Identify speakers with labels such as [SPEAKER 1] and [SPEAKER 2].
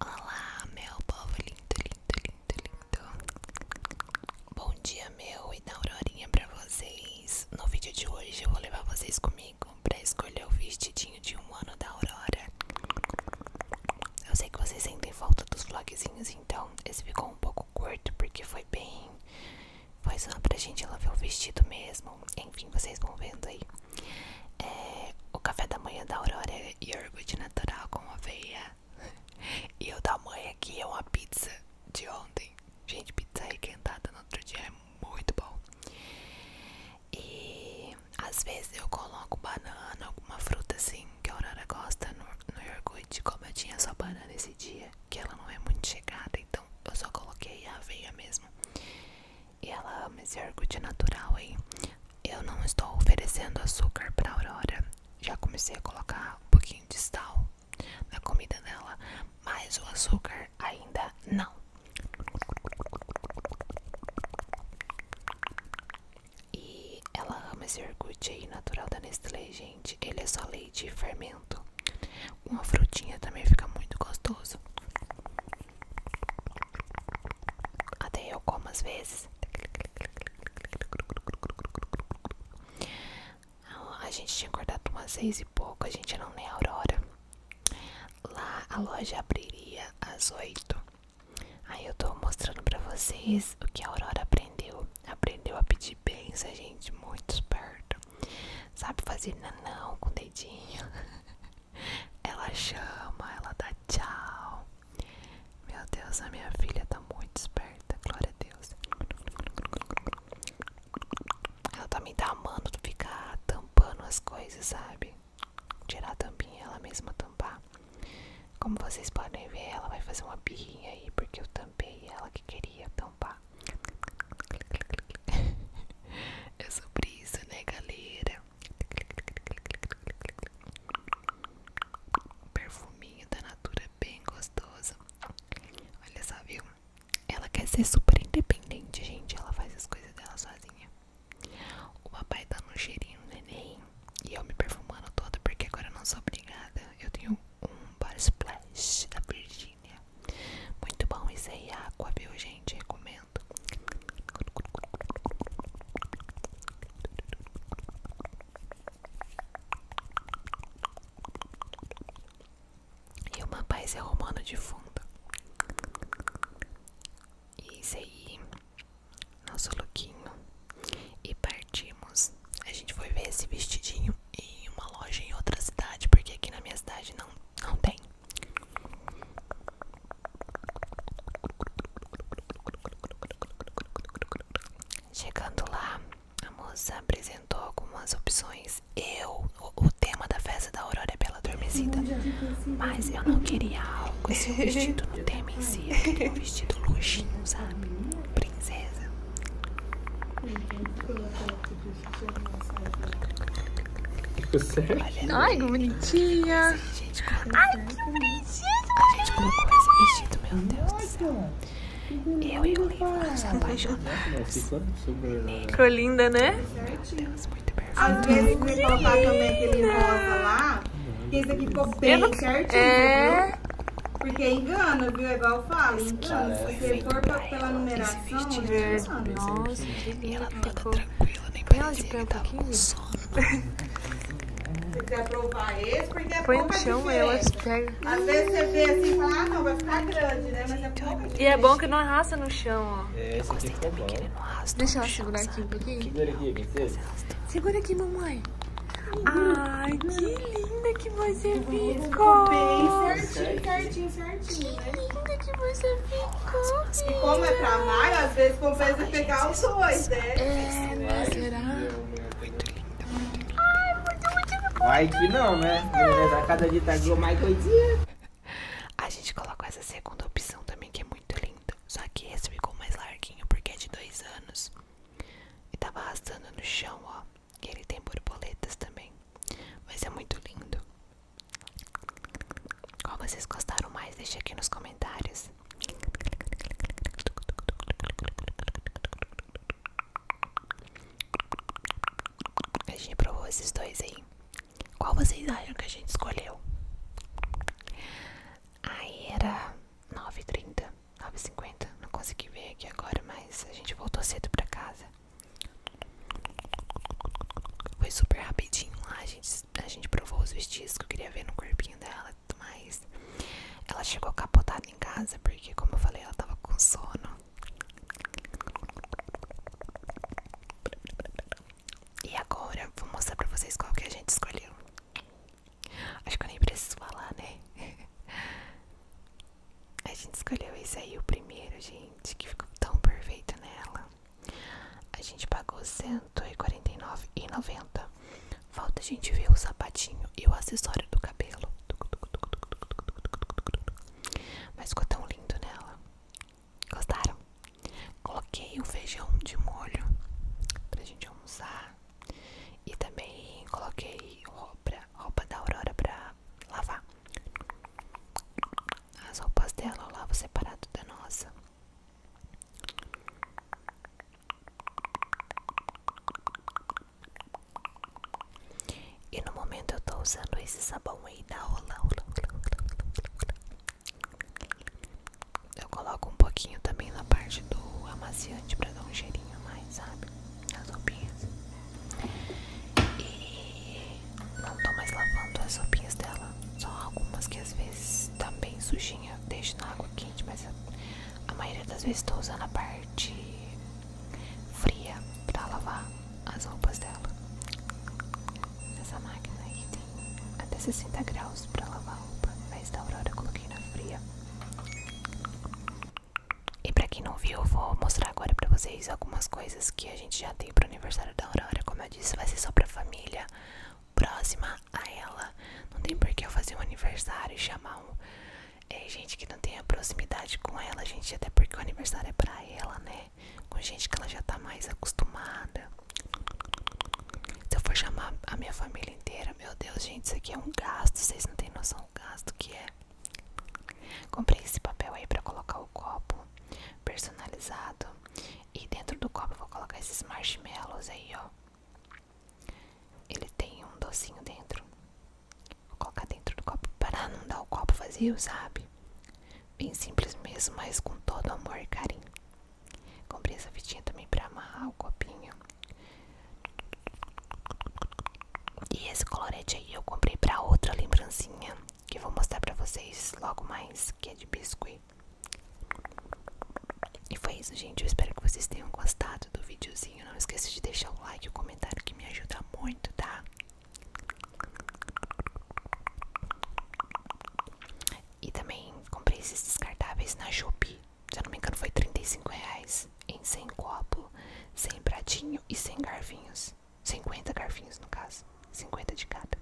[SPEAKER 1] Olá, meu povo lindo, lindo, lindo, lindo. Bom dia, meu e da Aurorinha pra vocês. No vídeo de hoje eu vou levar vocês comigo pra escolher o vestidinho de um ano da Aurora. Eu sei que vocês sentem falta dos vlogzinhos, então esse ficou um pouco curto porque foi bem. Foi só pra gente lavar o vestido mesmo enfim, vocês vão vendo aí. É, o café da manhã da Aurora é iogurte natural com aveia. E o da manhã aqui é uma pizza de ontem. Gente, pizza requentada no outro dia é muito bom. E às vezes eu coloco banana, alguma fruta assim que a Aurora gosta no, no iogurte. Como eu tinha só banana esse dia, que ela não é muito chegada, então eu só coloquei a aveia mesmo. E ela ama esse iogurte natural, hein? Eu não estou oferecendo açúcar pra Aurora. Já comecei a colocar um pouquinho de sal na comida dela, mas o açúcar ainda não. E ela ama esse iogurte aí natural da Nestlé, gente. Ele é só leite e fermento. Uma frutinha também fica muito gostoso. Até eu como às vezes. Então, a gente tinha acordado umas seis e pouco, a gente não nem a Aurora. Lá a loja abriria às oito. Aí eu tô mostrando pra vocês o que a Aurora aprendeu. Aprendeu a pedir benção, gente, muito esperto Sabe fazer nanão com o dedinho. Ela chama, ela dá tchau. Meu Deus, a minha filha tá muito esperta, glória a Deus. Ela também tá amando ficar tampando as coisas, sabe? Tirar a tampinha, ela mesma tampar. Como vocês podem ver, ela vai fazer uma birrinha aí, porque eu tampei ela que queria tampar. é sobre isso, né, galera? perfuminho da Natura bem gostoso. Olha só, viu? Ela quer ser super independente, gente. Ela faz as coisas dela sozinha. O papai dando tá um cheirinho no neném. E eu me perfumando toda, porque agora eu não sou obrigada. Eu tenho um bar splash da Virginia. Muito bom, isso aí é viu, gente? Recomendo vendo? E uma paisagem é romana de fundo. Isso aí, nosso lookinho. E partimos. A gente foi ver esse vestidinho em uma loja em outra cidade, porque aqui na minha cidade não, não tem. Chegando lá, a moça apresentou algumas opções. Eu, o, tema da festa da Aurora é Bela Adormecida, mas eu não queria algo esse é vestido no tema em si, eu queria um vestido luxinho, sabe? Princesa. Você? Ai, que bonitinha. Ai, que bonitinha. Meu Deus do céu. Eu e o Lima nos apaixonamos. Ficou linda, né? Meu Deus, muito perfeito. Às vezes me a também aquele rosa lá. Que esse aqui ficou bem não... viu? Porque engana, viu? É igual eu falo, engana. Se for pela numeração, engana. Nossa, que linda. Ela toda tranquila tranquila, nem parecia que tava Se quiser provar esse, porque é Põe pouca no chão, elas pegam. É- Às vezes você vê assim e fala, ah, não, vai ficar grande, né? é então, E é bom que não arrasta no chão, ó. É, eu gostei que ele Deixa ela segurar aqui um Segura aqui, mamãe. Ai, que linda que você ficou! certinho, certinho, certinho, né? que você ficou? E como é pra Maio, às vezes compensa Ai, pegar os dois, né? É, será? Muito linda, muito linda. Ai, muito, muito, muito Vai que não, né? A cada dia tá mais doidinha. A gente colocou essa segunda opção também, que é muito lindo. Só que esse ficou mais larguinho, porque é de dois anos. E tava arrastando no chão, ó. Que ele tem borboletas também. Mas é muito lindo. Qual vocês gostaram mais? Deixe aqui nos comentários. A gente provou esses dois aí. Qual vocês acham que a gente escolheu? Aí era 9h30, 9h50. Não consegui ver aqui agora, mas a gente voltou cedo pra casa. Foi super rapidinho lá, a gente a gente provou os vestidos que eu queria ver no corpinho dela e tudo mais. Ela chegou capotada em casa, porque, como eu falei, ela tava com sono. E agora vou mostrar pra vocês qual que a gente escolheu. Acho que eu nem preciso falar, né? A gente escolheu esse aí, o primeiro, gente, que ficou tão perfeito nela. A gente pagou R$ 149,90. Falta a gente ver o sapatinho e o acessório do cabelo. Mas ficou tão lindo nela. Gostaram? Coloquei um feijão de molho pra gente almoçar. E também coloquei roupa, roupa da Aurora pra lavar. As roupas dela eu lavo separado da nossa. E no momento eu tô usando esse sabão aí da ola Eu coloco um pouquinho também na parte do amaciante pra dar um cheirinho mais, sabe? nas roupinhas. E não tô mais lavando as roupinhas dela, só algumas que às vezes tá bem sujinha, deixo na água quente, mas a, maioria das vezes estou usando a parte fria para lavar as roupas dela. Essa máquina aí tem até 60 graus para lavar a roupa, mas da Aurora eu coloquei na fria. E para quem não viu, eu vou mostrar agora para vocês algumas coisas que a gente já tem pro aniversário da Aurora. Como eu disse, vai ser só pra família próxima a ela. Não tem por que eu fazer um aniversário e chamar um, é, gente que não tenha proximidade com ela, gente, até porque o aniversário é para ela, né? Com gente que ela já tá mais acostumada. Se eu for chamar a minha família inteira, meu Deus, gente, isso aqui é um gasto. Vocês não têm noção do gasto que é. Comprei esse papel aí para colocar o copo personalizado. E dentro do copo vou colocar esses marshmallows aí, ó. Ele tem um docinho dentro. Vou colocar dentro do copo para não dar o copo vazio, sabe? Bem simples mesmo, mas com todo amor e carinho. Comprei essa fitinha também para amarrar o copinho. E esse colorete aí eu comprei para outra lembrancinha que vou mostrar para vocês logo mais, que é de biscoito e foi isso, gente. Eu espero que vocês tenham gostado do videozinho. Não esqueça de deixar o like e o comentário que me ajuda muito, tá? E também comprei esses descartáveis na Shopee. Se eu não me engano, foi 35 reais em 100 copo, sem pratinho e 100 garfinhos. 50 garfinhos, no caso. 50 de cada.